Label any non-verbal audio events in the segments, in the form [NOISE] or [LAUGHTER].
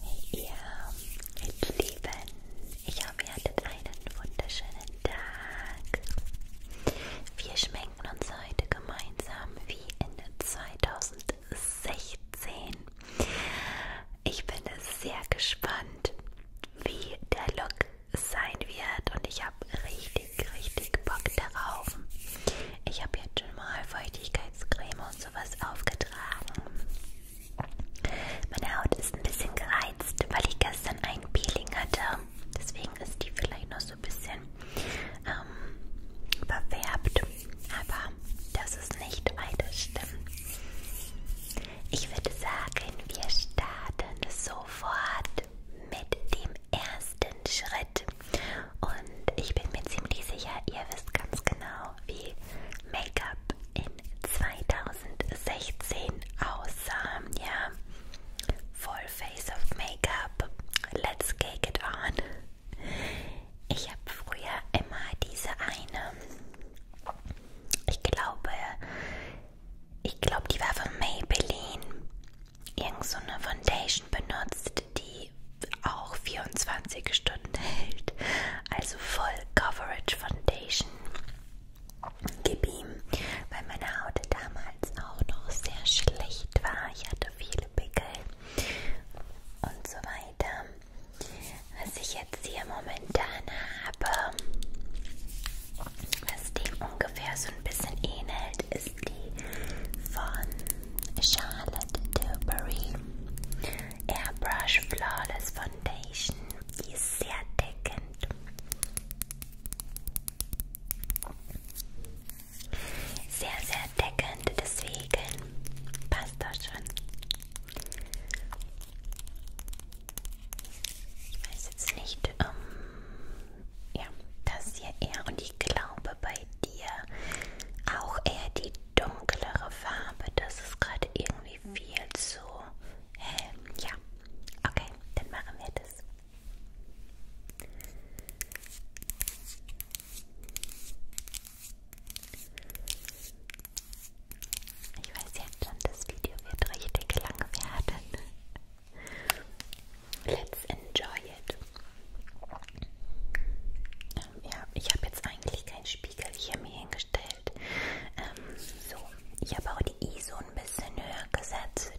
Hey ihr, ihr Lieben, ich hoffe ihr hattet einen wunderschönen Tag. Wir schmecken uns heute gemeinsam wie in 2016. Ich bin sehr gespannt, wie der Look sein wird und ich habe richtig, richtig Bock darauf. Ich habe jetzt schon mal Feuchtigkeitscreme und sowas aufgetragen. Meine Haut ist ein bisschen gereizt, weil ich gestern ein Peeling hatte. Deswegen ist die vielleicht noch so ein bisschen ähm, verfärbt. Aber das ist nicht weiter schlimm. Ich würde sagen, wir starten sofort mit dem ersten Schritt. Und ich bin mir ziemlich sicher, ihr wisst ganz genau, wie Make-up in 2016 aussah. Ja, Full Face of Make-up. Let's cake it on. Ich habe früher immer diese eine. Ich glaube, ich glaube, die war von Maybelline. Irgend so eine Foundation benutzt, die auch 24 Stunden hält. Also voll Coverage Foundation. Gib ihm, weil meine Haut damals auch noch sehr schlecht war. Ich hatte viele Pickel und so weiter. Was ich jetzt hier momentan habe, was dem ungefähr so ein bisschen ähnelt, ist die von Charlotte Tilbury Airbrush Flawless Foundation. Die ist sehr deckend. Sehr, sehr deckend, deswegen passt das schon. Ich weiß jetzt nicht, um, ähm, ja, das hier eher und ich glaube bei bei dir auch eher die dunklere Farbe. Das ist gerade irgendwie viel zu hell. Ja, okay, dann machen wir das. Ich weiß jetzt schon, das Video wird richtig lang werden. Let's enjoy it. Ähm, ja, ich habe jetzt eigentlich keinen Spiegel hier mir hingestellt. Ähm, so, ich habe auch die ISO ein bisschen höher gesetzt.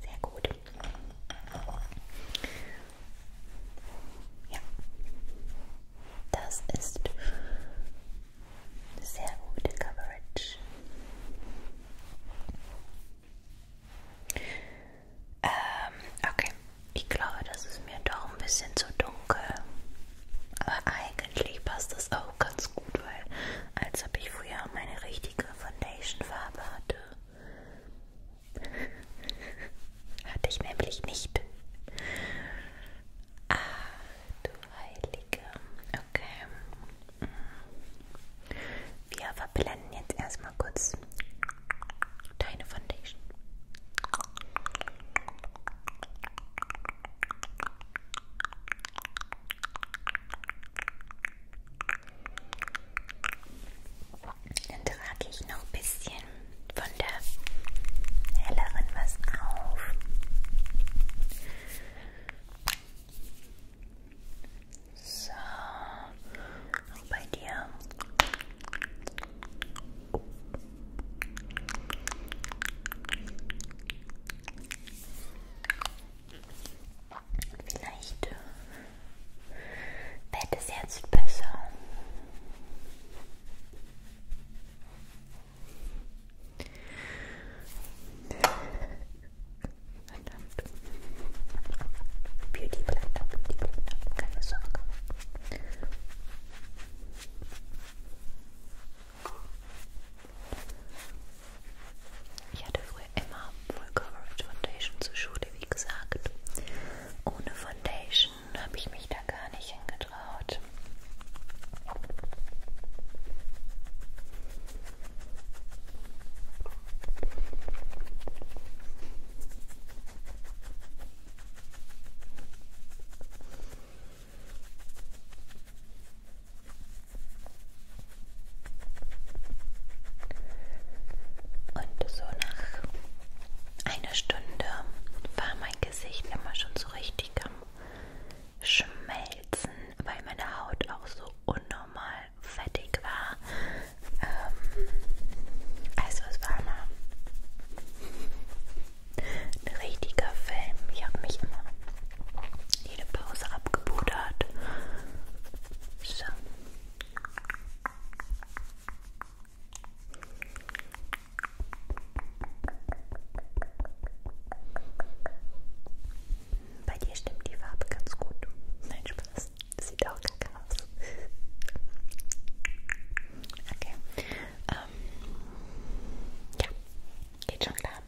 Sehr gut. Ja, das ist eine sehr gute Coverage. Ähm, okay, ich glaube, das ist mir doch ein bisschen zu dunkel. Aber eigentlich passt das auch ganz gut, weil als ob ich früher meine richtige Foundation-Farbe hatte. Hatte ich nämlich nicht. Ah, du Heilige. Okay. Wir verblenden jetzt erstmal kurz deine Foundation. Wow. Dann trage ich noch ein bisschen von der helleren was auf. So, auch bei dir. Vielleicht wird äh, es jetzt besser. Verdammt. Beauty Blender, Beauty Blender, keine Sorge. Ich hatte früher immer Full Coverage Foundation zur Schule, wie gesagt. Ohne Foundation habe ich mich da gar nicht hingetraut. Und so nach einer Stunde war war mein Gesicht immer schon so richtig am Schmelzen, weil meine Haut auch so unnormal fettig war. Ähm, also es war immer ein richtiger Film. Ich habe mich immer jede Pause abgebudert. So. Bei dir stimmt die Farbe ganz gut. Nein, Spaß. Das sieht auch kacke aus. Okay. Ähm, ja, geht schon klar.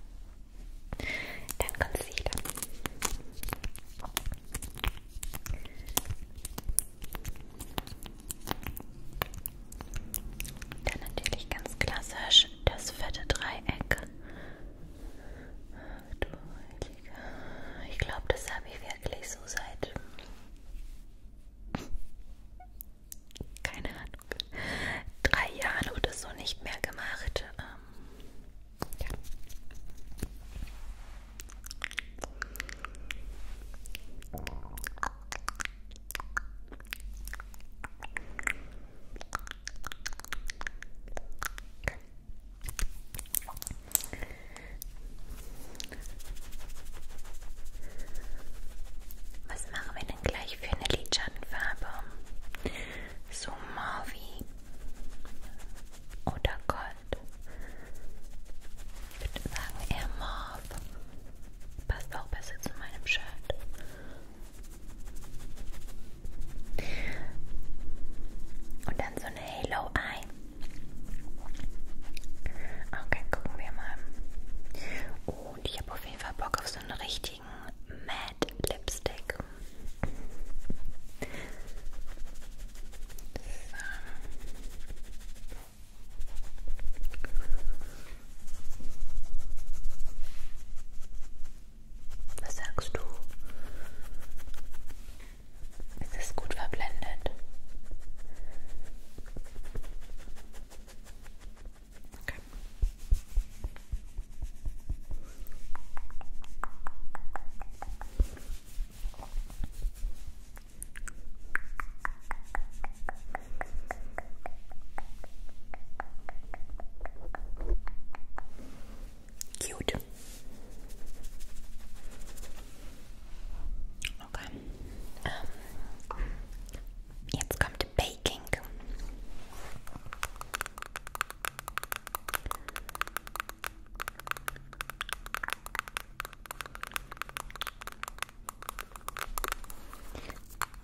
Dann Concealer. Dann natürlich ganz klassisch das fette Dreieck. Ich glaube, das habe ich wirklich so seit. Keine Ahnung. Drei Jahren oder so nicht mehr gemacht. Ähm, ja. Was machen wir denn gleich für eine Lidschattenfarbe? So Mauvi oder Gold? Ich würde sagen eher Morph. Passt auch besser zu meinem Shirt. Und dann so eine Halo Eye. Okay, gucken wir mal. Und ich habe auf jeden Fall Bock auf so einen richtigen Matte Lipstick. So. Was sagst du? Ist es gut verblendet? Okay. Cute. Okay. Um, jetzt kommt Baking.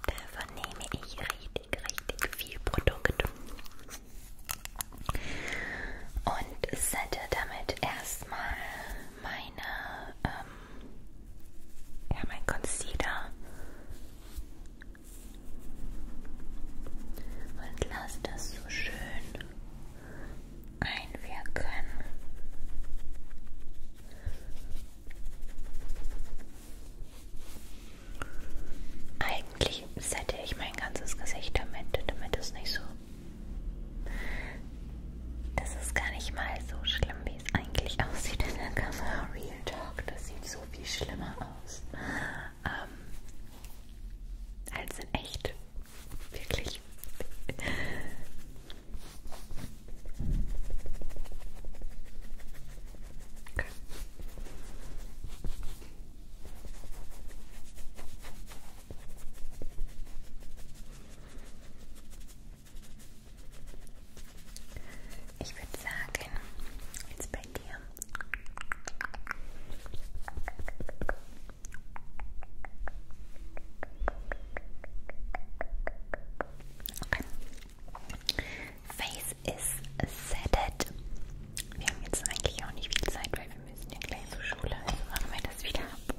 Davon nehme ich richtig, richtig viel Produkt. Und sette damit erstmal meine, ähm, ja, mein Concealer. Und lass das so schön einwirken. Eigentlich sette ich mein ganzes Gesicht damit, damit es nicht so... Das ist gar nicht mal so schlimm, wie es eigentlich aussieht in der Kamera. Real Talk, das sieht so viel schlimmer aus. Ähm, als in echt. Wirklich. Okay. Ich würde sagen, jetzt bei dir. Okay. Face is setted. Wir haben jetzt eigentlich auch nicht viel Zeit, weil wir müssen ja gleich zur Schule. Also machen wir das wieder ab.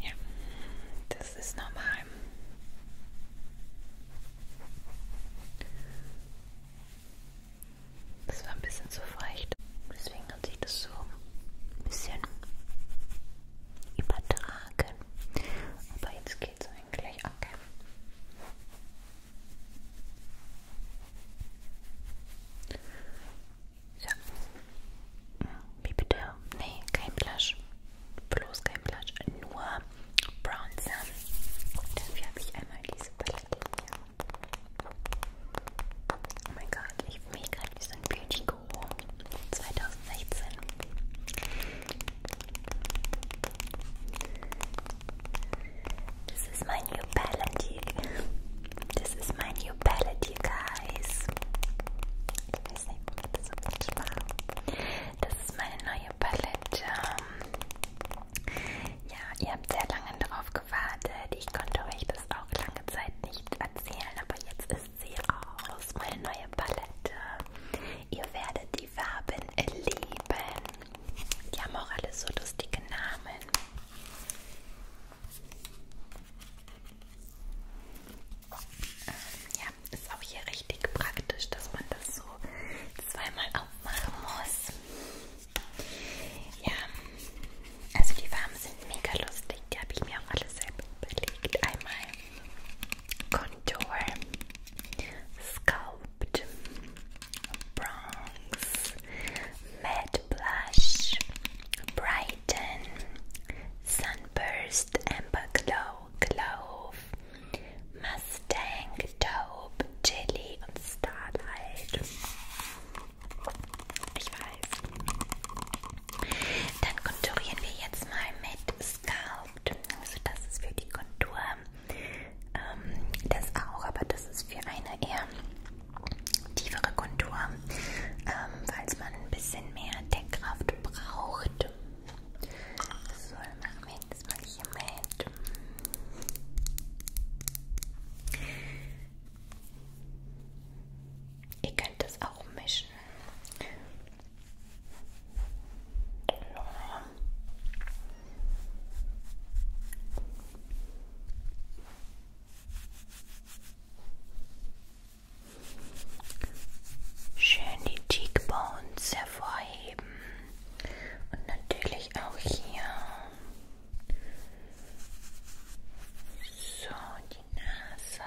Ja, das ist normal. Das war ein bisschen zu feucht. Deswegen hat sich das so ein bisschen übertragen. Aber jetzt geht's eigentlich. Okay. So. Wie bitte? Nee, kein Blush. Bloß kein Blush. Nur Bronzer. Dafür habe ich einmal diese Palette. Oh mein Gott, ich fühle so ein This is my new palette. This is my new palette, you guys. Ich weiß nicht, warum Palette. Um, Ja, ihr habt sehr lange darauf gewartet. Ich konnte euch das auch lange Zeit nicht erzählen, aber jetzt ist sie raus, meine neue Palette. Ihr werdet die Farben lieben. Die haben auch alle so lustige Namen. Ja, ist auch hier richtig praktisch, dass man das so zweimal aufmachen muss. Ja, also die Farben sind mega lustig. Die habe ich mir auch alles selbst überlegt. Einmal Contour, Sculpt, Bronze, Matte Blush, Brighten, Sunburst, Amber Glow, Glove, Masse. Stank, Dope, Chili und Starlight. Ich weiß. Dann konturieren wir jetzt mal mit Sculpt. Also das ist für die Kontur. Ähm, das auch, aber das ist für eine eher tiefere Kontur, ähm, falls man ein bisschen mehr Deckkraft braucht. So, dann machen wir jetzt mal hier mit gut. Ihr könnt das auch mischen. Ja. Schön die Cheekbones hervorheben und natürlich auch hier so, die Nase.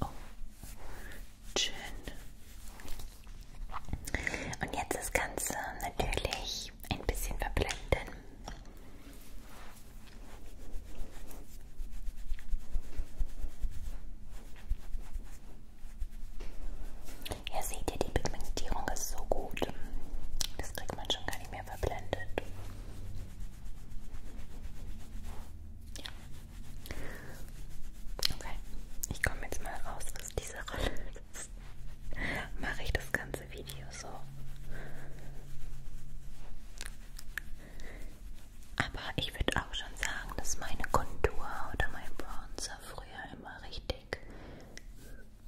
Oh, schön. Und jetzt das Ganze natürlich ein bisschen verblenden. So. Ja, seht ihr, die Pigmentierung ist so gut. Das kriegt man schon gar nicht mehr verblendet. Ja. Okay, ich komme jetzt mal raus aus dieser Rolle. Jetzt mache ich das ganze Video so. Aber ich würde auch schon sagen, dass meine Kontur oder mein Bronzer Hose früher immer richtig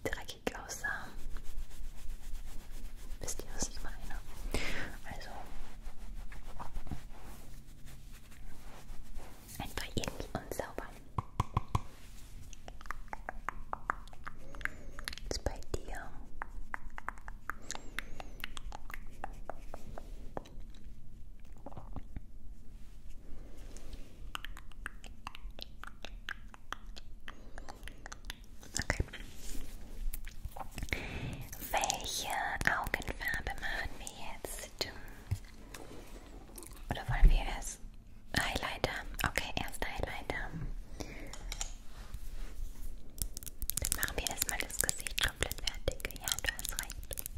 dreckig aussah. Wisst ihr, was ich meine? Also einfach irgendwie unsauber. Jetzt bei dir. Okay. Welche Augenfarbe machen wir jetzt? Oder wollen wir erst Highlighter? Okay, erst Highlighter. Dann machen wir erstmal das Gesicht komplett fertig. Ja, du hast recht.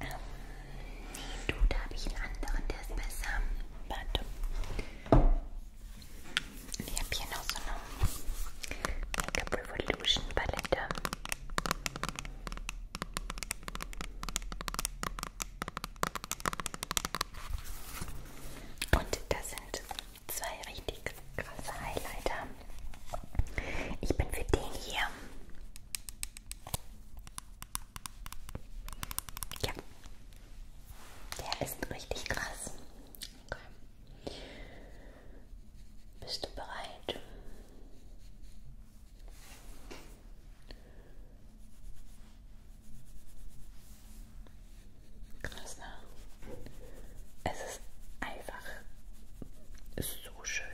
Ähm, nee, du, da habe ich einen anderen, der ist besser. Warte. Ich habe hier noch so eine Makeup Revolution Palette. Und das sind zwei richtig krasse Highlighter. Ich bin für den hier. Ja. Der ist richtig krass. Okay. Bist du bereit? Krass, ne? Es ist einfach so schön.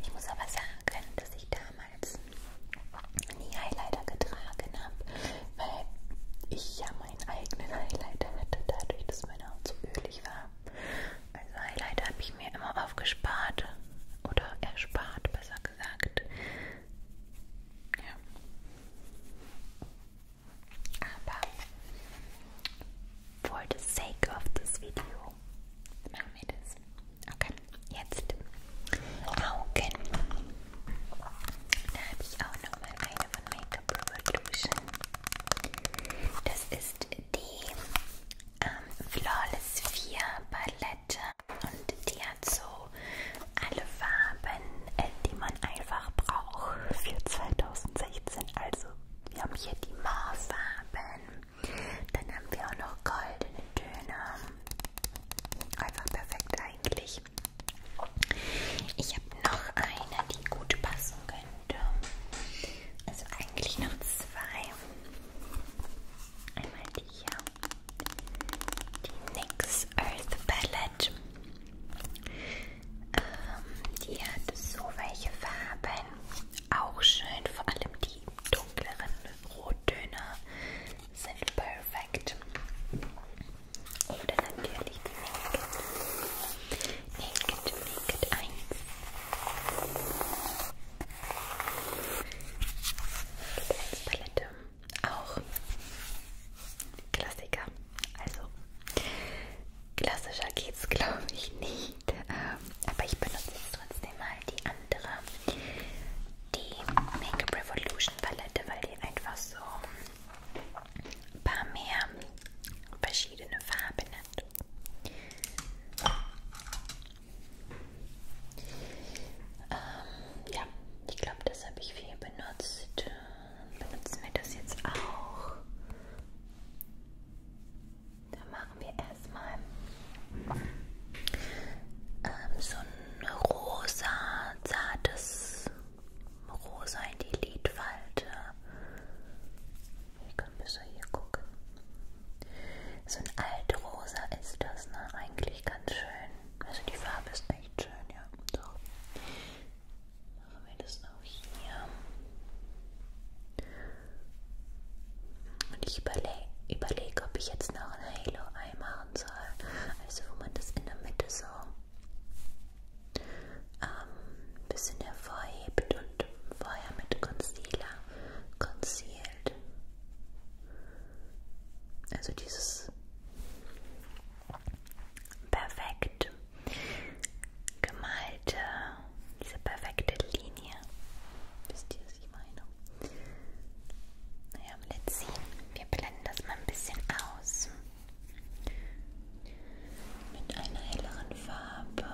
Ich muss aber sagen, dass ich damals nie Highlighter getragen habe, weil ich ja meinen eigenen Highlighter hatte, dadurch, dass meine Haut so ölig war. Also Highlight habe ich mir immer aufgespart oder erspart, besser gesagt. Ja. Aber for the sake of this video machen wir das. Okay, jetzt Augen. Da habe ich auch nochmal eine von Makeup Revolution. Das ist die ähm, Flawless 4 Palette und die hat so alle Farben, äh, die man einfach braucht für 2016. Also wir haben hier die Maurfarben, dann haben wir auch noch goldene Töne. Einfach perfekt eigentlich. Ich habe noch eine, die gut passen könnte also eigentlich noch zwei. Einmal die hier, die NYX Earth Palette. Ähm, die hat so welche Farben, auch schön, vor allem die dunkleren Rottöne sind perfekt. Oder natürlich die Naked Naked 1. Naked 1 Palette. Auch Klassiker. Also klassischer geht's glaube ich nicht. Ähm, aber ich benutze jetzt trotzdem mal die andere. Die Make-up Revolution Palette, weil die einfach so ein paar mehr verschiedene Farben ähm, ja, ich glaube, das habe ich viel benutzt. Benutzen wir das jetzt auch. Da machen wir erstmal ähm, so ein rosa, zartes Rosa in die Lidfalte. Hier können wir so hier gucken. So ein altrosa ist das, ne? Eigentlich ganz schön. Also die Farbe ist echt schön, ja. So. Machen wir das auch hier. Und ich überlege, überleg, ob ich jetzt noch ein Halo-Eye machen soll. Also wo man das in der Mitte so ähm, bisschen hervorhebt und vorher mit Concealer concealt. Also dieses perfekt gemalte, diese perfekte Linie. Wisst ihr, was ich meine? Naja, let's see. Wir blenden das mal ein bisschen aus mit einer helleren Farbe.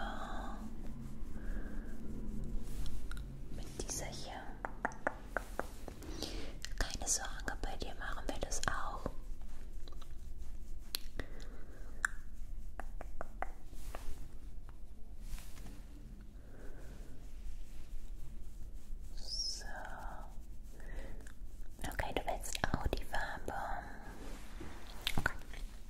Mit dieser hier. Keine Sorge, bei dir machen wir das auch. So. Okay, du willst auch die Farbe. Okay.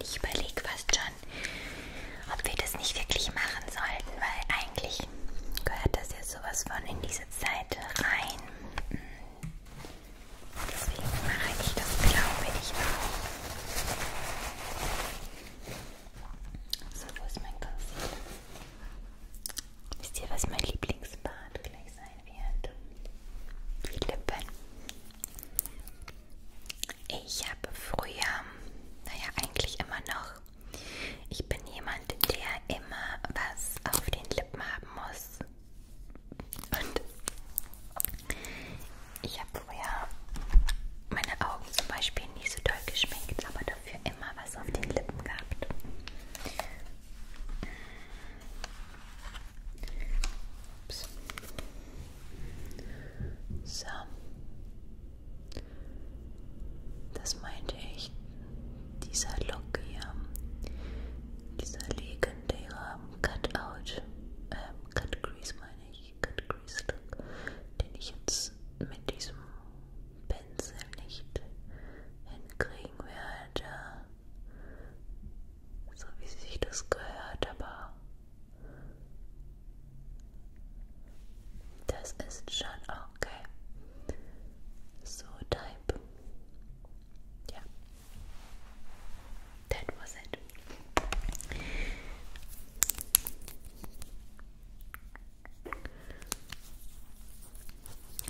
Ich überlege fast schon, ob wir das nicht wirklich machen sollten, weil eigentlich gehört das ja sowas von in diese Zeit rein. Deswegen mache ich das, glaube ich, auch. So, wo ist mein Concealer? Wisst ihr, was mein Lieblingsbad gleich sein wird? Die Lippen. Ich habe früher, naja, eigentlich immer noch. Ich bin jemand, der immer was auf den Lippen haben muss. Und ich habe früher meine Augen zum Beispiel nicht so doll geschminkt, aber dafür immer was auf den Lippen gehabt. Ups. So. Das meinte ich. Dieser Look hier. Dieser legendäre Cutout. Ähm, Cut Grease meine ich. Cut Grease Look. Den ich jetzt mit diesem Pinsel nicht hinkriegen werde so wie sich das gehört, aber das ist schon okay. So type. Yeah. That was it.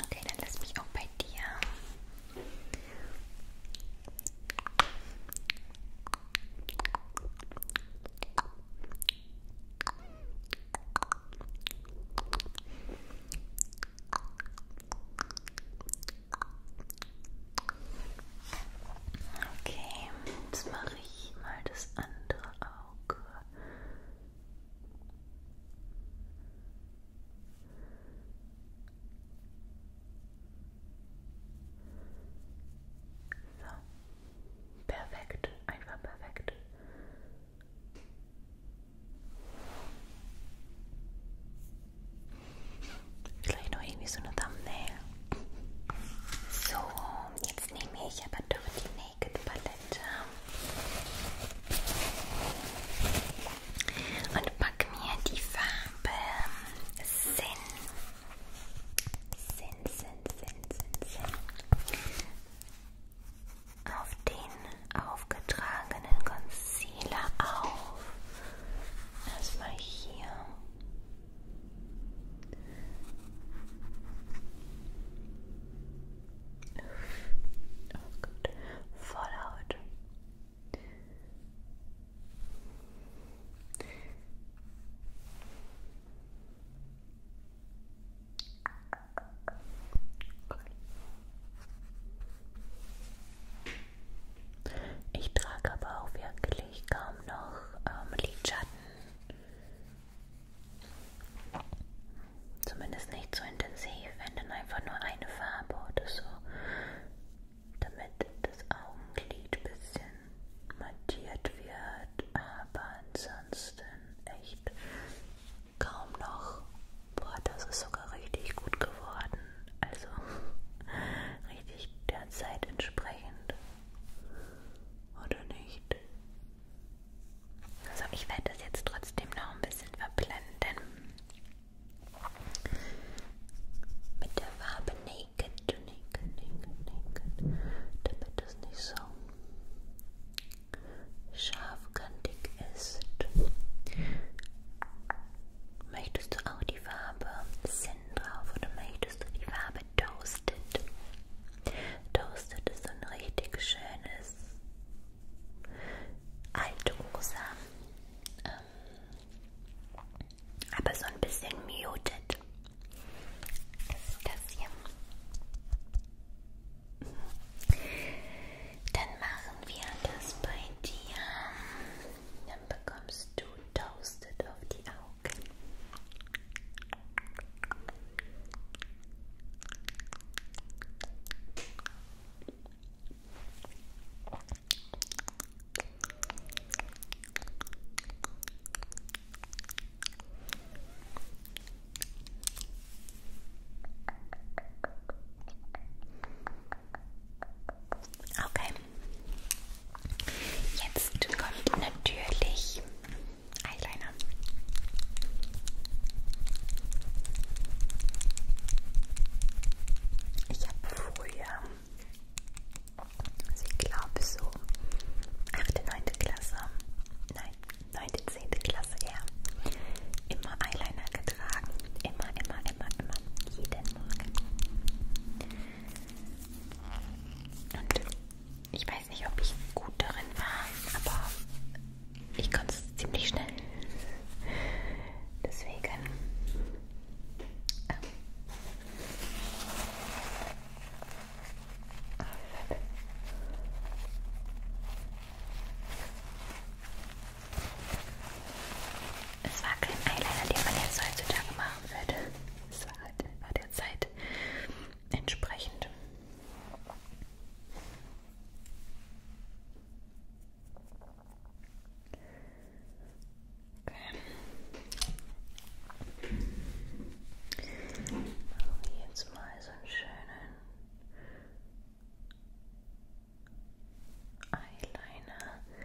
Okay, dann lass mich auch bei dir Okay, jetzt mache ich mal das andere Auge. So. Perfekt, einfach perfekt. Vielleicht noch irgendwie so eine Thumbnail. So, jetzt nehme ich aber doch die Naked Palette und pack mir die Farbe Sinn. Sinn, Sinn, Sinn, Sinn, Sinn. Auf den aufgetragenen Concealer auf. Erstmal hier. Oh Gott. Voll Haut. Ich trage aber auch wirklich kaum noch ähm, Lidschatten. Zumindest nicht so intensiv, wenn dann einfach nur eine Farbe oder so damit das Augenlid ein bisschen mattiert wird, aber ansonsten echt kaum noch. Boah, das ist sogar richtig gut geworden. Also [LAUGHS] richtig der Zeit entsprechend. Oder nicht? Also ich werde das jetzt trotzdem noch ein bisschen verblenden. Mit der Farbe Naked, Naked, Naked, Naked, damit es nicht so scharfkantig ist. Möchtest du auch die Farbe Sinn drauf oder möchtest du die Farbe Toasted? Toasted ist so ein richtig schönes altrosa ähm, aber so ein bisschen muted. Das hier. Mhm. Dann machen wir das bei dir. Dann bekommst du Toasted auf die Augen. Okay. Jetzt kommt natürlich Eyeliner. Ich habe früher, also ich glaube so 8., 9. Klasse, nein, 9., 10. Klasse, ja, immer Eyeliner getragen. Immer, immer, immer, immer. Jeden Morgen. Und ich weiß nicht, ob ich gut darin war, aber ich konnte es ziemlich schnell. Deswegen. Ah. Es war kein Eyeliner, den man jetzt heutzutage machen würde. Es war halt war der Zeit entsprechend. Okay. Jetzt mal so einen schönen Eyeliner. Okay.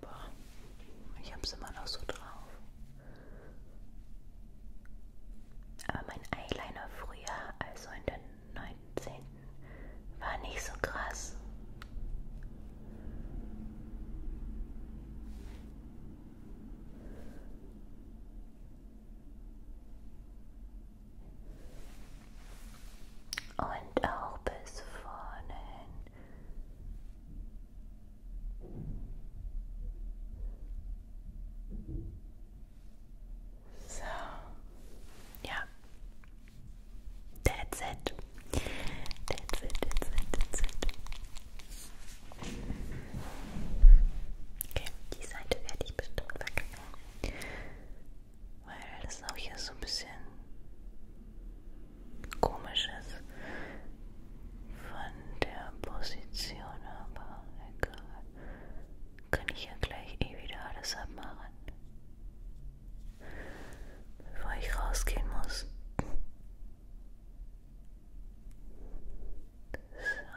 Boah, ich hab's immer noch so drauf. Aber mein Eyeliner früher, also in den 19. war nicht so krass. Und auch bis vorne hin. So, ja. That's it. That's it, that's it, that's it. Okay, die Seite werde ich bestimmt wegnehmen. Weil das auch hier so ein bisschen komisches von der Position, aber egal. Kann ich ja gleich eh wieder alles abmachen. Bevor ich rausgehen muss. So.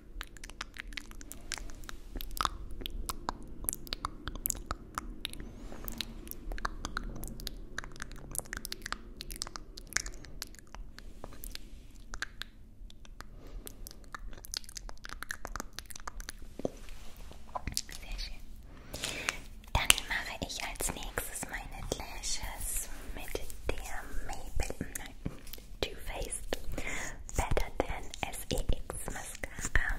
Sehr schön. Dann mache ich als nächstes meine Lashes mit der Maybelline Too Faced Better Than SEX Mascara.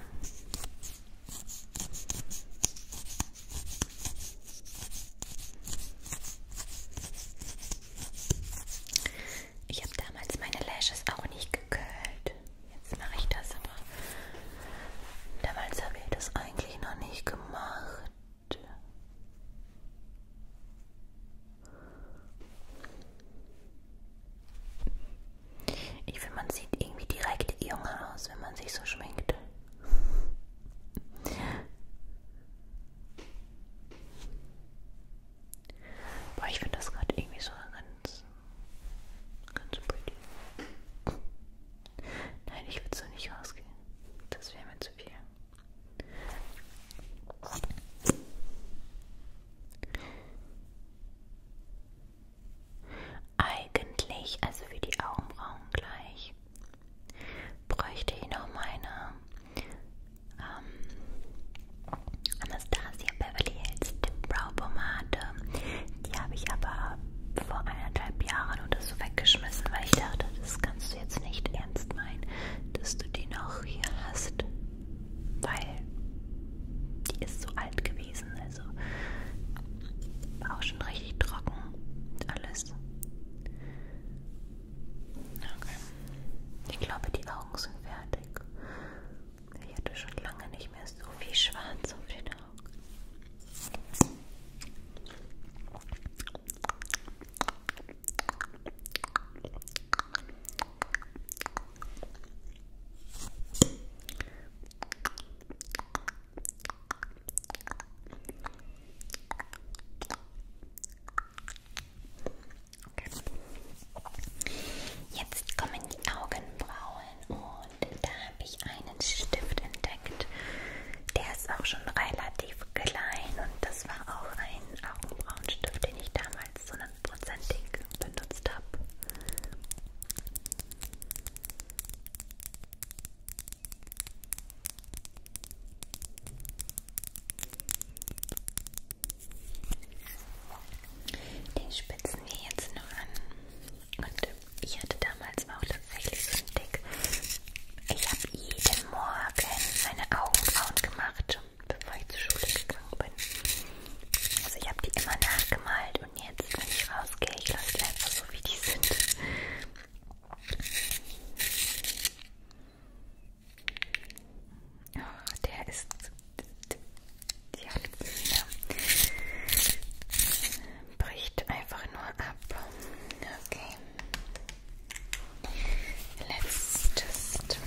Ich habe damals meine Lashes auch nicht gekölt. Jetzt mache ich das aber. Damals habe ich das eigentlich noch nicht gemacht. Ich finde, man sieht irgendwie direkt jung aus, wenn man sich so schminkt. Boah, ich finde das gerade irgendwie so ganz, ganz pretty. Nein, ich würde so nicht rausgehen. Das wäre mir zu viel. Eigentlich, also für die Augenbrauen gleich, bräuchte ich noch meine ähm, Anastasia Beverly Hills Brow Pomade. Die habe ich aber vor eineinhalb Jahren oder so weggeschmissen, weil ich dachte, das kannst du jetzt nicht ernst meinen, dass du die noch hier hast weil die ist so alt gewesen, also war auch schon richtig trocken alles. Okay. Ich glaube, die Augen sind fertig. Ich hatte schon lange nicht mehr so viel Schwarz auf den Augen. Okay. Jetzt kommen die Augenbrauen und da habe ich einen Stift entdeckt. Der ist auch schon relativ klein und das war auch ein Augenbrauenstift, den ich damals damals so einen Prozentding benutzt habe. Den spitzen wir jetzt noch an. Und ich hatte damals auch tatsächlich so einen Dick. Ich habe jeden Morgen meine Augenbrauen gemacht bevor ich zur Schule gegangen bin. Also ich habe die immer nachgemalt und jetzt, wenn ich rausgehe, ich lasse die einfach so, wie die sind. Oh, der ist... Ja, bricht einfach nur ab. Okay. Let's just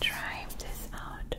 try this out.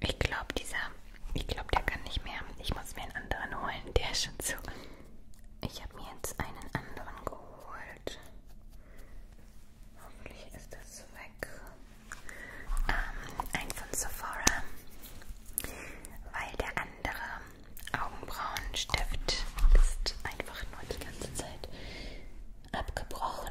Ich glaube, dieser, ich glaube, der kann nicht mehr. Ich muss mir einen anderen holen. Der ist schon zu. Ich habe mir jetzt einen anderen geholt. Hoffentlich ist das weg. Ähm, ein von Sephora. Weil der andere Augenbrauenstift ist einfach nur die ganze Zeit abgebrochen.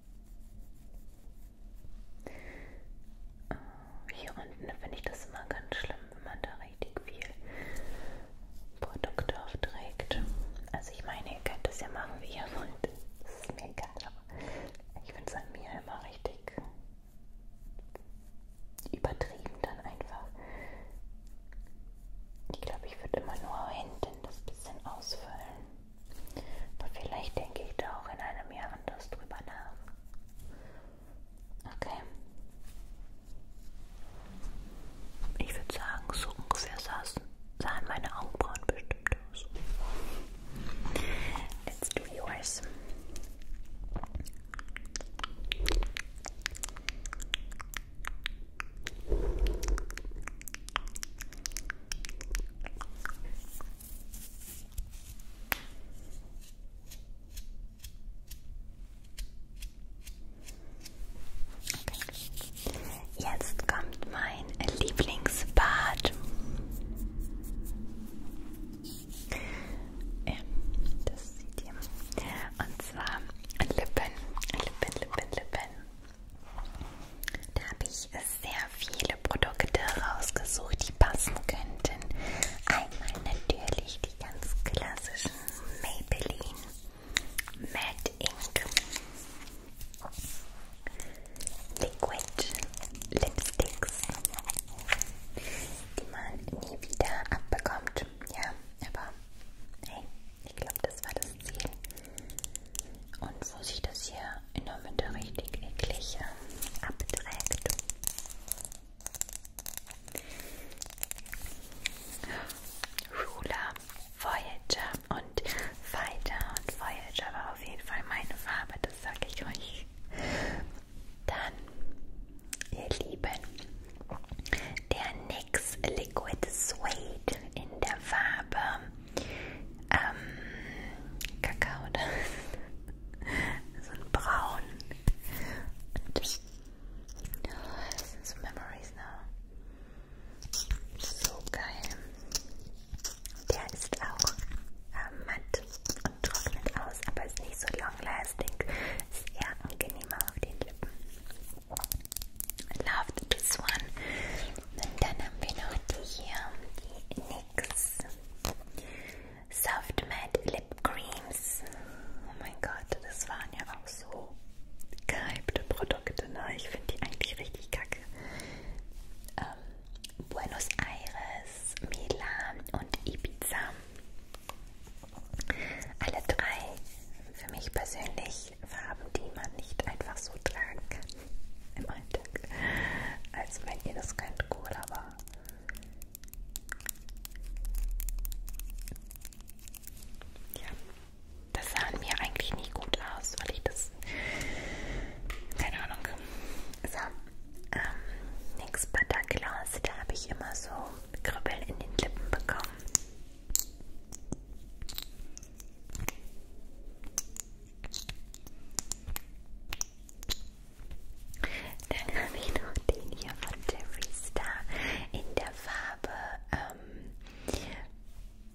Äh, hier unten finde ich das immer ganz schlimm, wenn man da richtig viel Produkte aufträgt. Also ich meine, ihr könnt das ja machen, wie ihr wollt. Das ist mir egal, aber ich finde es an mir immer richtig übertrieben dann einfach. Ich glaube, ich würde immer nur hinten das bisschen ausfüllen. Aber vielleicht denke ich da auch in einem Jahr anders drüber nach. Okay. Ich würde sagen, so ungefähr saßen, sahen meine Augenbrauen bestimmt aus. Let's do yours. Jetzt kommt mein Lieblingsbad. Das sieht ihr. Und zwar Lippen, Lippen, Lippen, Lippen. Da habe ich sehr viele Produkte rausgesucht, die passen könnten. Einmal natürlich die ganz klassischen Maybelline Matte Ink Liquid Lipsticks, die man nie wieder abbekommt. Ja, aber hey, ich glaube, das war das Ziel und wo sich das hier in der Mitte richtig eklig äh, abträgt. Ruler, Voyager und Fighter und Voyager war auf jeden Fall meine Farbe, das sage ich euch. Dann, ihr Lieben, der NYX Liquid Suede in der Farbe ähm, Kakao, so ein Braun. Und das, oh, das sind so Memories now. So geil. Der ist auch äh, matt und trocknet aus, aber ist nicht so long lasting. Ist eher angenehmer auf den Lippen loved this one. Und dann haben wir noch die hier, die NYX Soft Matte Lip Creams. Oh mein Gott, das waren ja auch so gehypte Produkte, ne? Ich finde die eigentlich richtig kacke. Ähm, Buenos Aires, Milan und Ibiza. Alle drei für mich persönlich natürlich Farben, die man nicht einfach so tragen kann [LAUGHS] im Alltag. Also wenn ihr das könnt, cool, aber ja, das sah an mir eigentlich nie gut aus, weil ich das keine Ahnung so, ähm, nix Butterglas, da habe ich immer so Kribbeln in den Lippen bekommen dann habe ich noch den hier von Jeffree Star in der Farbe ähm,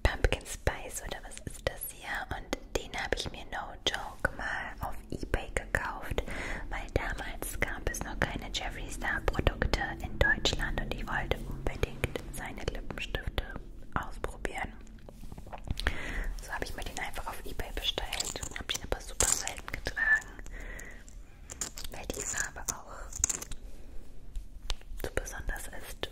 Pumpkin Spice oder was ist das hier? Und den habe ich mir no joke mal auf Ebay gekauft, weil damals gab es noch keine Jeffree Star Produkte in Deutschland und ich wollte unbedingt seine Lippenstifte ausprobieren. So habe ich mir den einfach auf Ebay bestellt und habe den aber super selten getragen, weil die Farbe auch so besonders ist.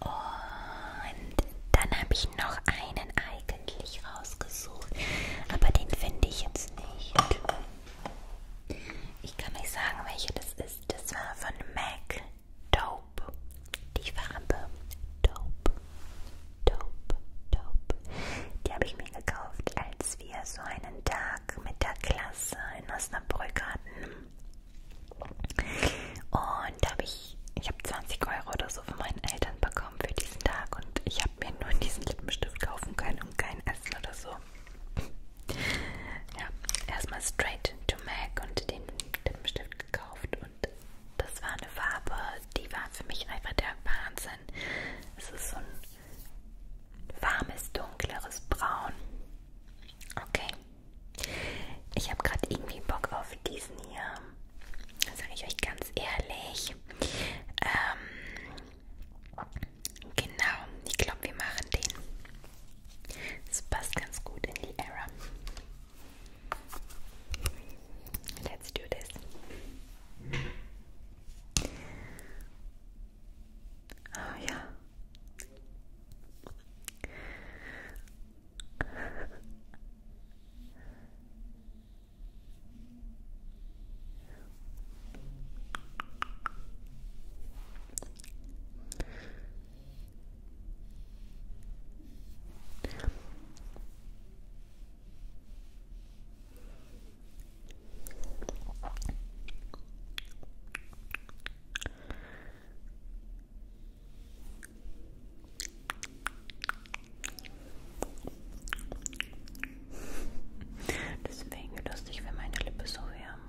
Und dann habe ich noch einen eigentlich rausgesucht, aber den finde ich jetzt nicht. Ich kann nicht sagen, welcher das ist. Das war von MAC. Dope. Die Farbe Dope. Dope. Dope. Die habe ich mir gekauft, als wir so einen Tag mit der Klasse in Osnabrück hatten. Und da habe ich, ich habe 20 Euro oder so von meinen Eltern bekommen für diesen Tag und ich habe mir nur diesen Lippenstift kaufen können und kein Essen oder so. Ja, erstmal straight to MAC und den Lippenstift gekauft und das war eine Farbe, die war für mich einfach der Wahnsinn. Es ist so ein warmes, dunkleres Braun. Okay. Ich habe gerade irgendwie Bock auf diesen hier. Sage ich euch ganz ehrlich. Ähm, genau, ich glaube, wir machen den. Das passt ganz gut in the Era. Let's do this. Oh yeah. Deswegen lustig, wenn meine Lippe so wärmen.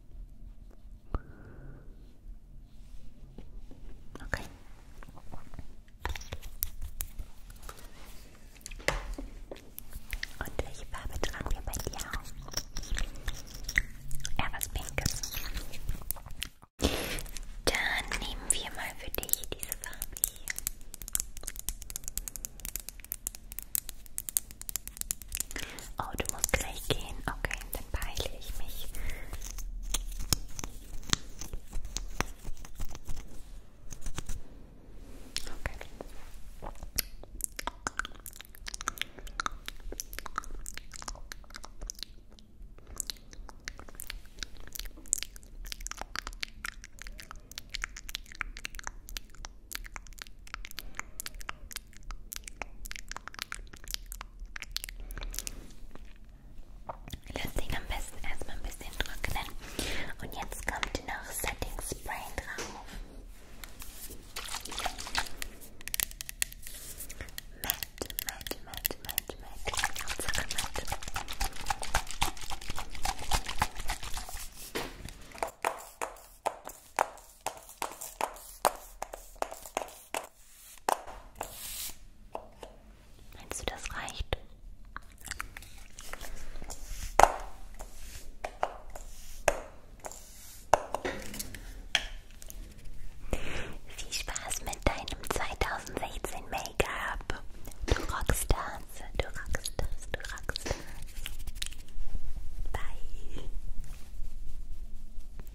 Okay. Und welche Farbe tragen wir bei dir auf? Eher was Pinkes. Dann nehmen wir mal für dich diese Farbe hier. Oh, du musst gleich gehen. Okay, dann beeile ich mich. Okay. Okay. Lass den am besten erstmal ein bisschen trocknen. Und jetzt kommt noch Setting Spray drauf. Matt, matt, matt, matt, matt. Hauptsache matt. Meinst du, das reicht? Viel Spaß mit deinem 2016 Make-up. Du rockst das, du rockst das, du rockst das. Bye.